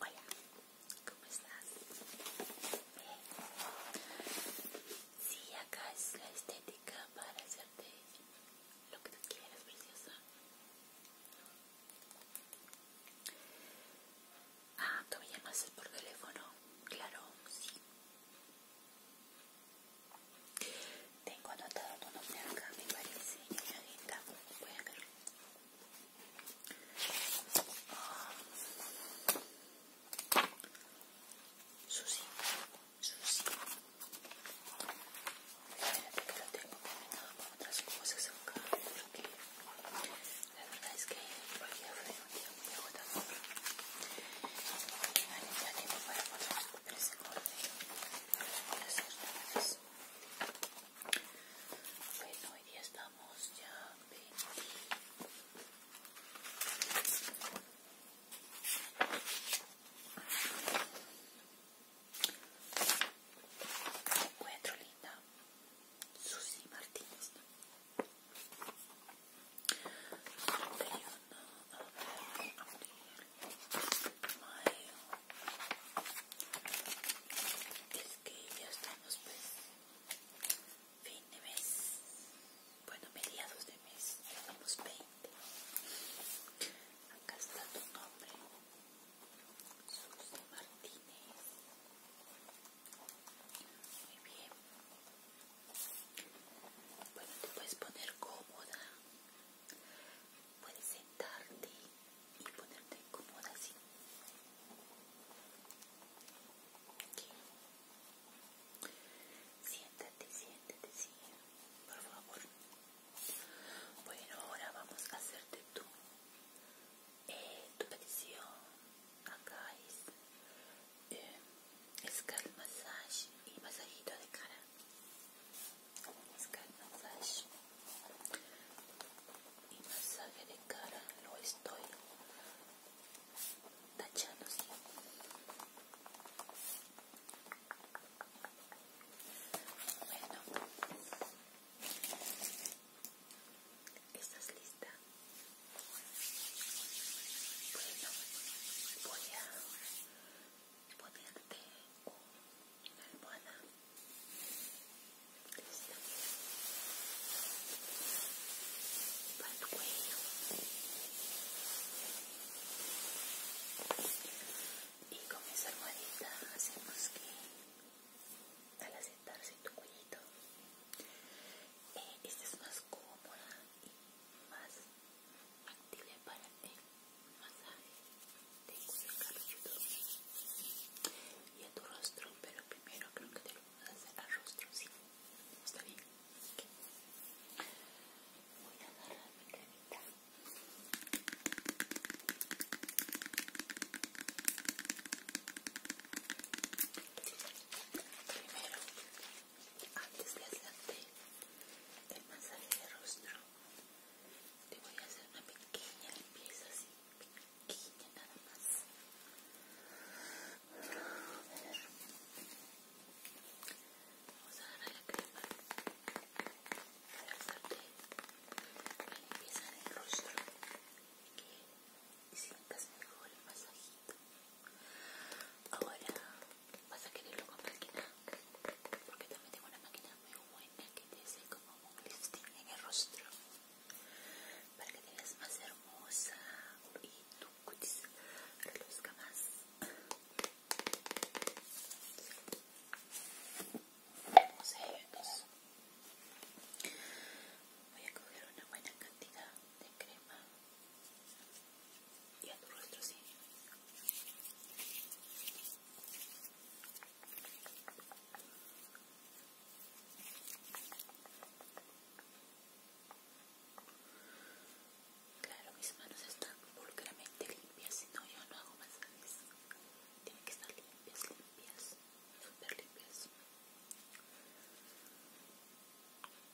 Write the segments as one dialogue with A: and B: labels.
A: Hola, ¿cómo estás? sí, acá es la estética para hacerte lo que tú quieras, preciosa. Ah, tú me llamas por teléfono, claro, sí. Tengo anotado tu nombre acá, me parece, señorita. Voy a ver. Ah. Susi, Susi. Espérate que lo tengo combinado con otras cosas acá, porque la verdad es que hoy día fue un día muy agotador. Y no hay para poder ese corte. Bueno, hoy día estamos ya en Cuatro Linda Susi Martínez ver mayo. Es que ya estamos pues fin de mes, bueno mediados de mes, ya estamos 20. Acá está tu nombre, Susi Martínez. Muy bien. Bueno, te puedes poner cómoda. Puedes sentarte y ponerte cómoda así. Siéntate, siéntate, sí, por favor. Bueno, ahora vamos a hacerte tu, eh, tu petición. Acá es, eh, massage y masajito de cara scalp massage y masaje de cara lo estoy tachando ¿sí? bueno ¿Estás lista? Bueno, voy a ponerte una almohada. Listo. Para tu cuello. Y con esa almohadita hacemos que al asentarse tu cuello eh, estés más cómoda y más activa para el masaje de cabelludo y a tu rostro pero primero creo que te lo voy a hacer al rostro sí está bien voy a agarrar mi cremita primero antes de hacerte el masaje de rostro, te voy a hacer una pequeña limpieza así, pequeña nada más. A ver. Vamos a darle la crema para hacerte la limpieza del rostro y que sientas mejor el masajito. Ahora vas a quererlo con máquina, porque también tengo una máquina muy buena que te hace como un lifting en el rostro, para que te veas más hermosa y tu cutis reluzca más. Vamos a vernos. Voy a coger una buena cantidad de crema y a tu rostro sí. Claro, mis manos están vulgarmente limpias, si no yo no hago más masajes. Tienen que estar limpias, limpias, súper limpias.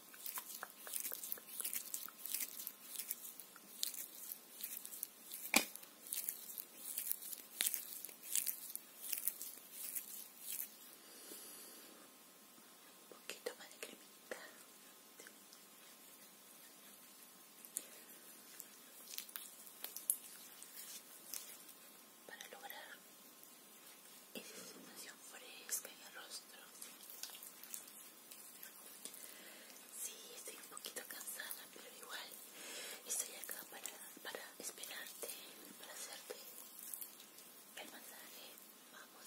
A: Un poquito más de cremita. Para lograr esa sensación fresca en el rostro. Sí, estoy un poquito cansada, pero igual estoy acá para, para esperarte, para hacerte el masaje. Vamos.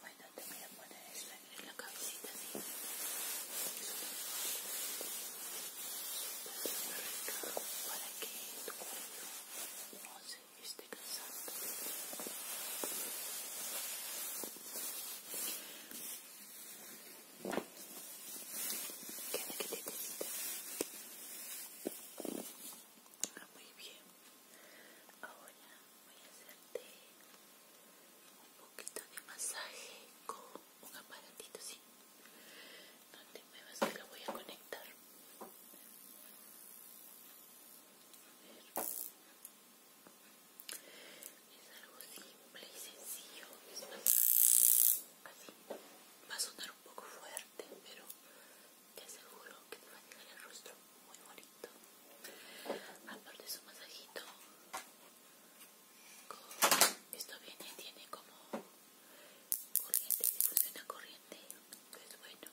A: Bueno, te voy a poner esta en la cabecita para que tu cuerpo no se esté cansando. Queda que te Ah, muy bien. Ahora voy a hacerte un poquito de masaje con un aparatito, ¿sí? No te muevas que lo voy a conectar. Es algo simple y sencillo. Es más, Va a sonar un poco fuerte, pero te aseguro que te va a dejar el rostro muy bonito. Aparte su masajito, esto viene, tiene como corriente, difusión a corriente, es Bueno,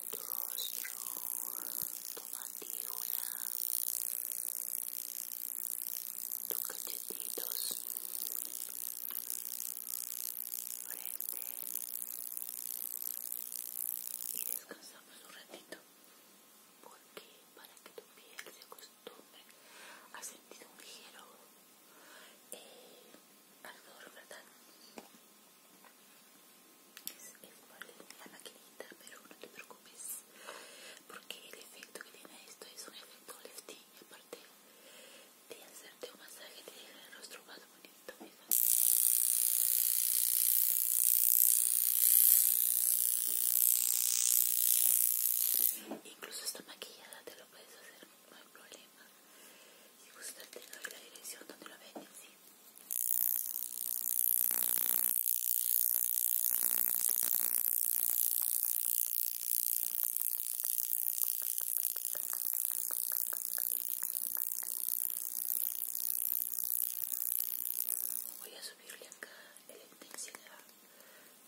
A: tu rostro, tu mandíbula, tus cachetitos, frente y descansamos un ratito porque para que tu piel se acostumbre a sentir un ligero eh, ardor, ¿verdad? es igual la maquinita pero no te preocupes porque el efecto que tiene esto es un efecto lifting y aparte de hacerte un masaje te el rostro más bonito incluso esta maquillada te lo puedes hacer no hay problema y gustas te la dirección donde lo venden sí Voy a subirle acá el intensidad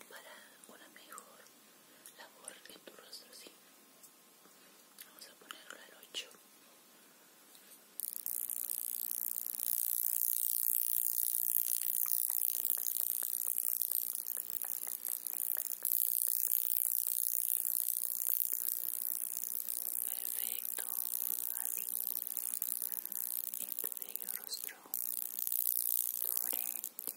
A: para una mejor labor en tu rostro, ¿sí? Vamos a ponerlo al 8. Perfecto, aquí en este tu bello rostro, tu frente, tus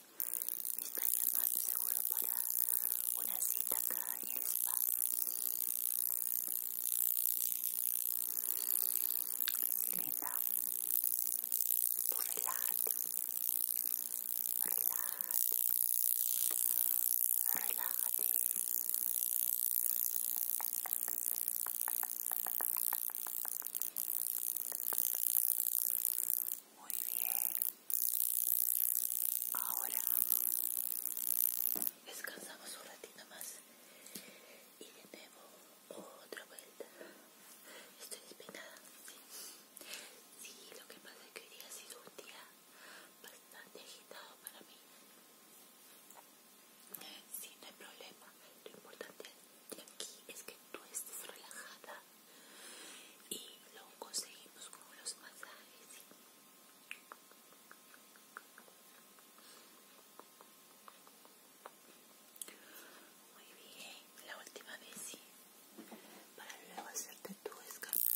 A: me llamando seguro para una cita acá en el spa linda tú relájate relájate relájate muy bien. Ahora descansamos un ratito más y de nuevo otra vuelta. Estoy despeinada. Sí. sí, lo que pasa es que hoy día ha sido un día bastante agitado para mí. Sí, no hay problema. Lo importante es y aquí es que tú estés relajada y lo conseguimos con los masajes.
B: Muy bien, la última vez sí, para luego
A: hacerte tu escapada.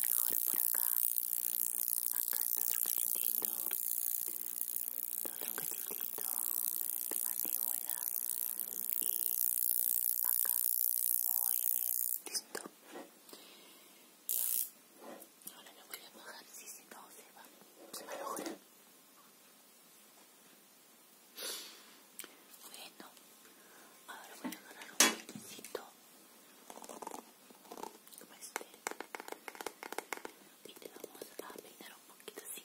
A: mejor por acá. Acá otro cachetito. Otro cachetito. Tu mandíbula. Y acá. Muy bien. Listo. Ahora lo voy a bajar. Si se si o se va. Se me a bueno, ahora voy a dar un poquito como este y te vamos a peinar un poquito así.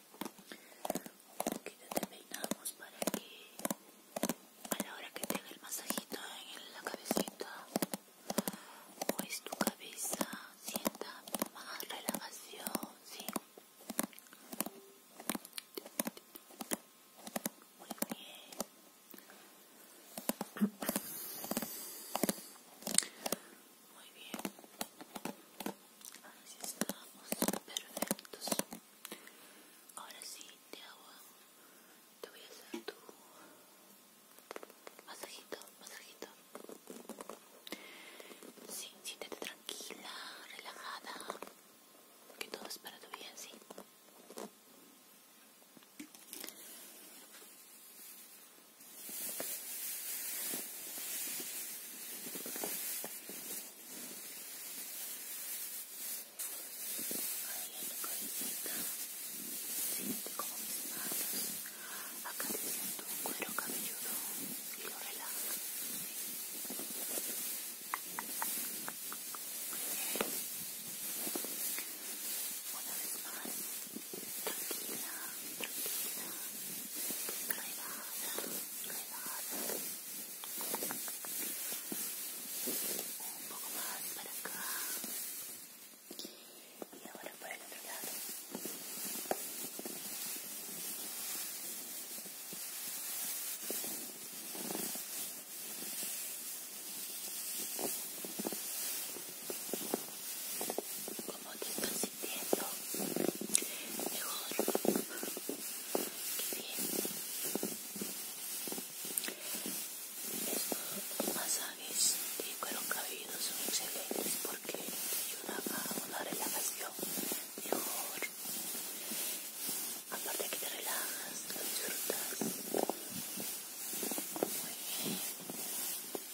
A: un poquito te peinamos pues, para que a la hora que tenga el masajito en la cabecita pues tu cabeza sienta más relajación, ¿sí? Muy bien. Muy bien. Así estamos. Perfectos. Ahora sí, te hago. Te voy a hacer tu masajito, masajito. siéntete tranquila, relajada. Que todo es para tu bien, sí. Ahí en como mis manos Acariciando cuero cabelludo y lo relaja vez más. un poco más para acá y ahora para el otro lado como despacito entiendo mejor. que bien. Estos masajes de cuero cabelludo son excelentes porque te ayudan a una relajación mejor. Aparte que te relajas, lo disfrutas. Muy bien. ¿Qué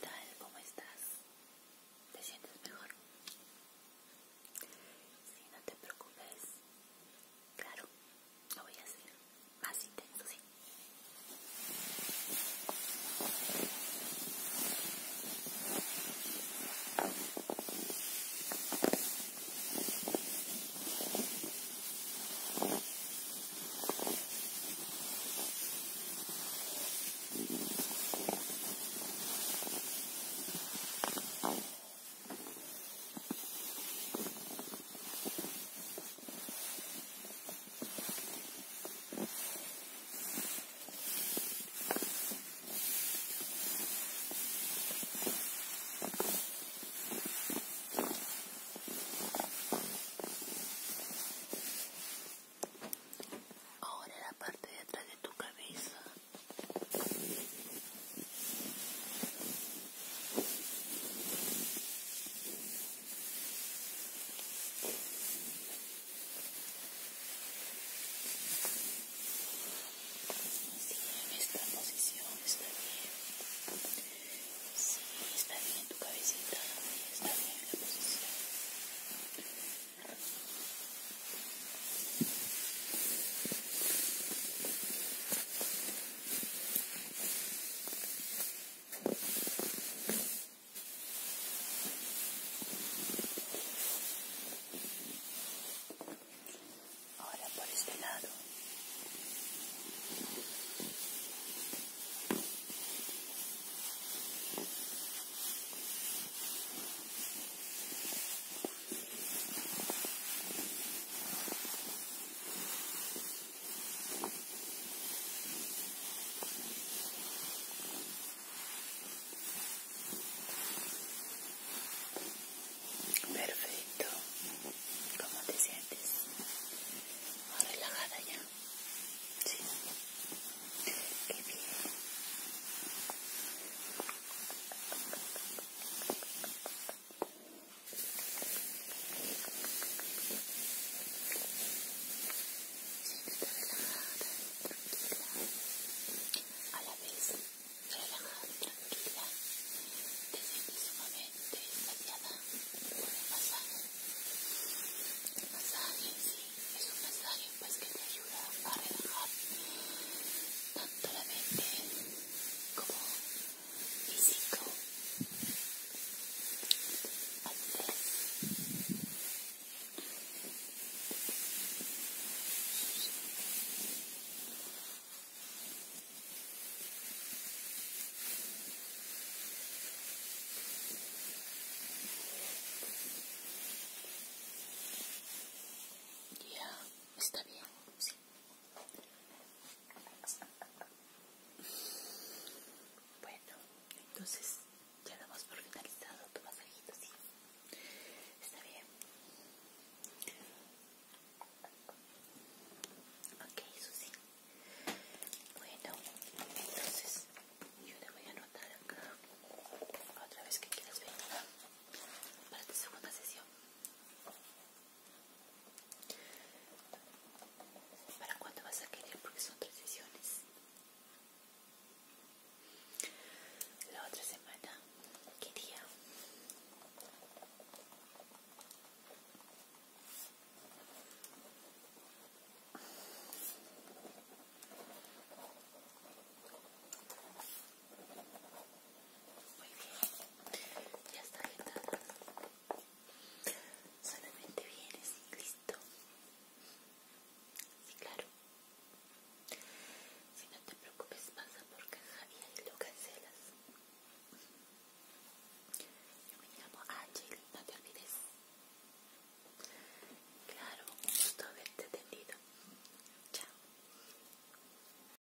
A: tal? ¿Cómo estás? ¿Te sientes mejor? Si no te preocupes. Claro, lo voy a hacer más intenso, sí. Ahora la parte de atrás de tu cabeza. Sí, en esta posición está bien. Sí, está bien tu cabecita. Está bien la posición. bien. Ahora por este lado. Perfecto. ¿Cómo te sientes? ¿Más relajada ya? Sí. Qué bien. Siéntete relajada, y tranquila, a la vez relajada y tranquila, te sientes sumamente saciada por el masaje. El masaje sí, es un masaje pues que te ayuda a relajar tanto la mente como Físico. ya está bien bueno, entonces ya damos por finalizado tu masajito, ¿sí? Está bien. Ok, eso sí. Bueno, entonces yo te voy a anotar acá otra vez que quieras venir para tu segunda sesión. ¿Para cuándo vas a querer? Porque son tres sesiones. La otra semana, ¿qué día? Muy bien, ya está agitada. Solamente vienes y listo. Sí, claro. Si no te preocupes, pasa por caja y ahí lo cancelas. Yo me llamo Ángel, no te olvides. Claro, un gusto haberte atendido. Chao.